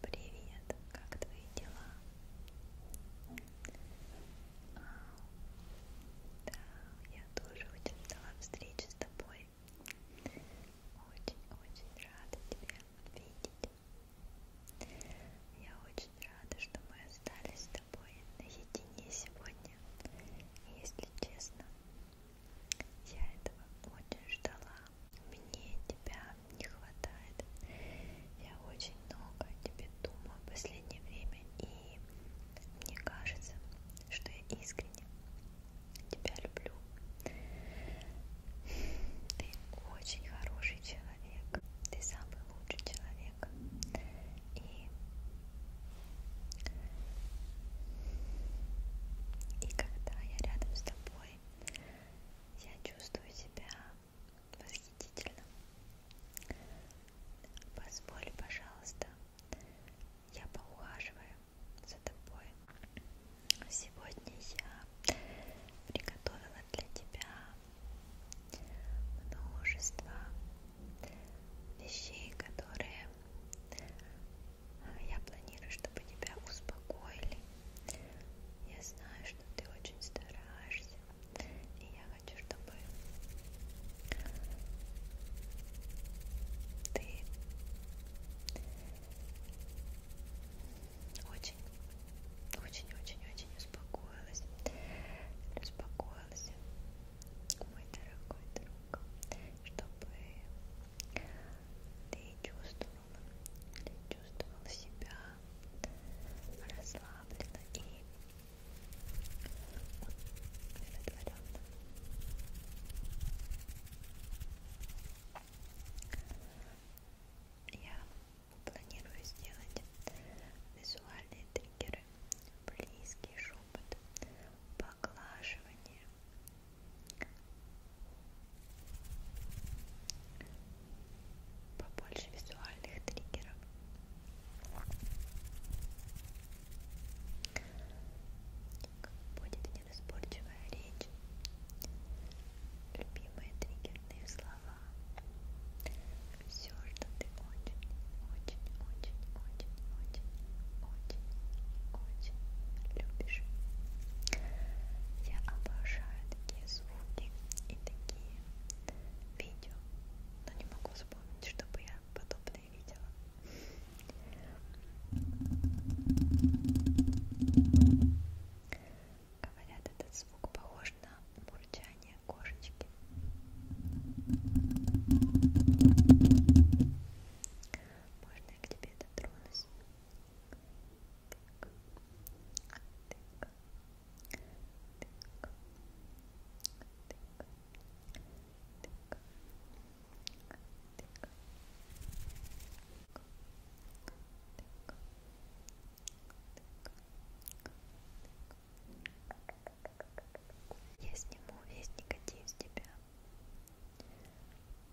Привет, как твои дела? А, да, я тоже очень ждала встречи с тобой. Очень-очень рада тебя видеть. Я очень рада, что мы остались с тобой наедине сегодня. Если честно, я этого очень ждала мне тебя не хватает. Я очень много о тебе думаю в последнее время, и мне кажется, что я искренне тебя люблю. Ты очень хороший человек, ты самый лучший человек. И и когда я рядом с тобой, я чувствую себя восхитительно. Позволь, пожалуйста, я поухаживаю за тобой. Сегодня я приготовила для тебя множество вещей, которые я планирую, чтобы тебя успокоили я знаю, что ты очень стараешься, и я хочу, чтобы ты очень, очень, очень, очень успокоилась, успокоился, мой дорогой друг, чтобы ты чувствовал чувствовал себя расслабленно и удовлетворенно. Я планирую сделать визуальные триггеры, близкий шепот, поглаживание, побольше визуальных триггеров будет неразборчивая речь любимые триггерные слова все, что ты очень, очень, очень, очень, очень, очень, очень любишь я обожаю это такие звуки и такие видео, но не могу вспомнить, чтобы я подобное видела. Говорят, этот звук похож на мурчание кошечки. Можно я к тебе дотронусь? Я сниму весь негатив с тебя.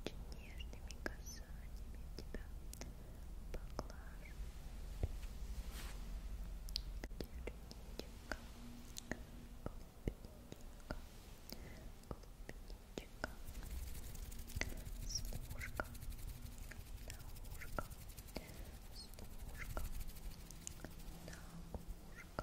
Очень нежными касаниями тебя поглажу. Черничка, клубничка, клубничка, смушка, на ушко, смушка, на ушко. Смушка,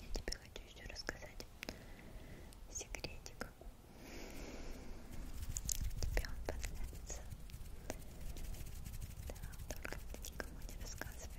Я тебе хочу еще рассказать секретик. Тебе он понравится. Да, только ты никому не рассказывай.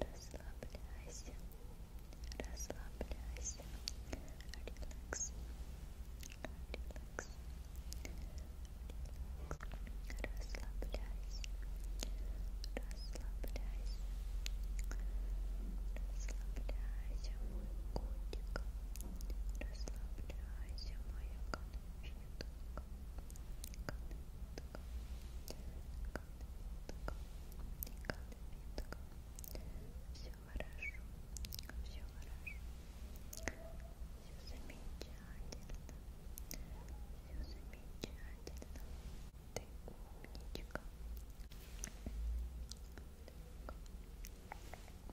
Расслабляйся, расслабляйся, релакс, релакс, релакс, расслабляйся, расслабляйся, расслабляйся, мой котик, расслабляйся, моя конфетка. Все хорошо, все хорошо, все замечательно, все замечательно. Ты умничка. Так.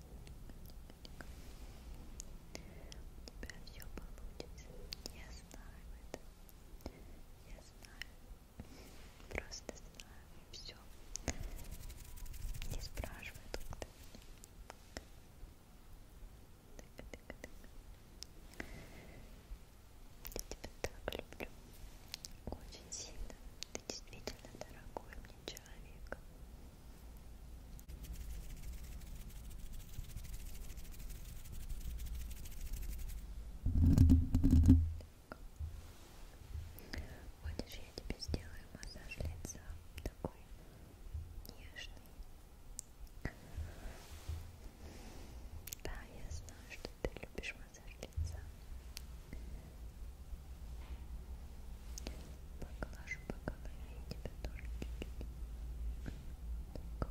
У тебя все получится. Я знаю это. Я знаю. Просто знаю. Все. Не спрашивай тут. Так, так, так. Я тебя так люблю. Очень сильно. Ты действительно дорогой мне человек. Хочешь, я тебе сделаю массаж лица? Такой нежный. Да, я знаю, что ты любишь массаж лица. Поглажу по голове и тебя тоже чуть-чуть. Так. Так. Так.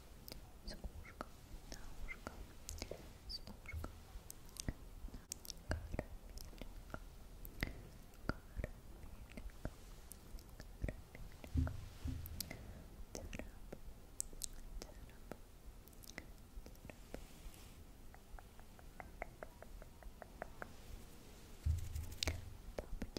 с ушком на ушко, с ушком на карамелька, карамелька, карамелька, царап, царап, царап. Папочка,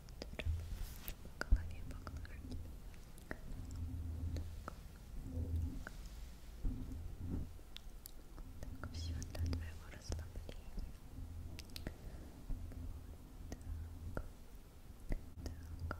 по голове поглажу тебя. Так. так, все для твоего расслабления. Вот так. Так. Вот так. Так.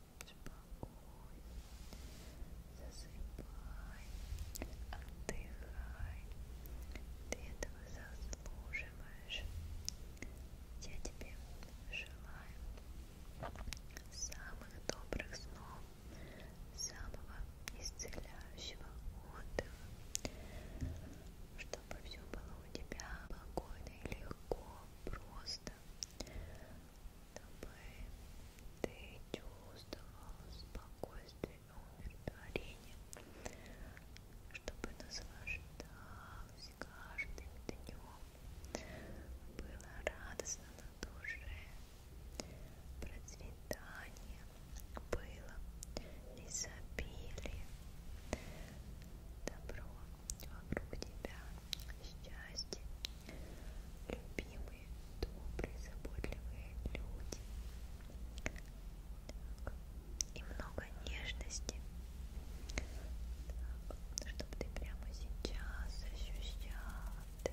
засыпай, отдыхай, ты этого заслуживаешь. Я тебе желаю самых добрых снов, самого исцеляющего отдыха, чтобы все было у тебя спокойно и легко, просто чтобы ты чувствовал спокойствие и умиротворение, чтобы наслаждался каждым днем, было радостно на душе, процветание было изобилие, добро вокруг тебя, счастье любимые, добрые, заботливые люди так. и много нежности, так. чтобы ты прямо сейчас ощущал ты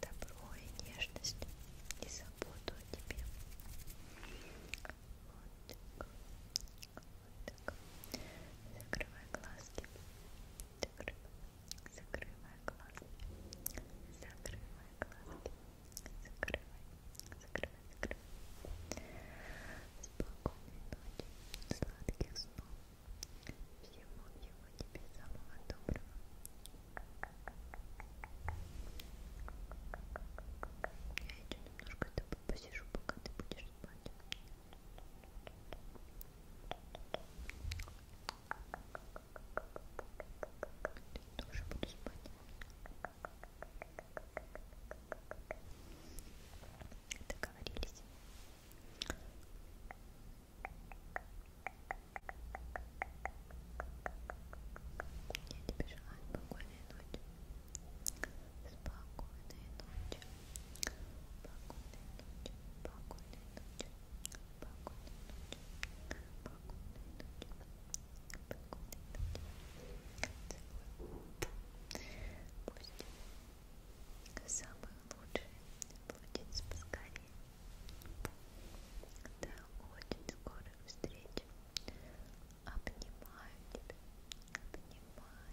добро и нежность и заботу о тебе. Вот так. Вот так. Закрывай глазки. Закрывай глазки. Закрывай глазки. Закрывай. Закрывай, закрывай. Спокойной ночи, сладких снов. Всего, всего тебе самого доброго. Я еще немножко тобой посижу, пока ты будешь спать. Я тоже буду спать. Договорились. Я тебе желаю спокойной ночи. Спокойной ночи. Пусть самые лучшие блудятся поскорее. До очень скорых встреч. Обнимаю тебя. Обнимаю.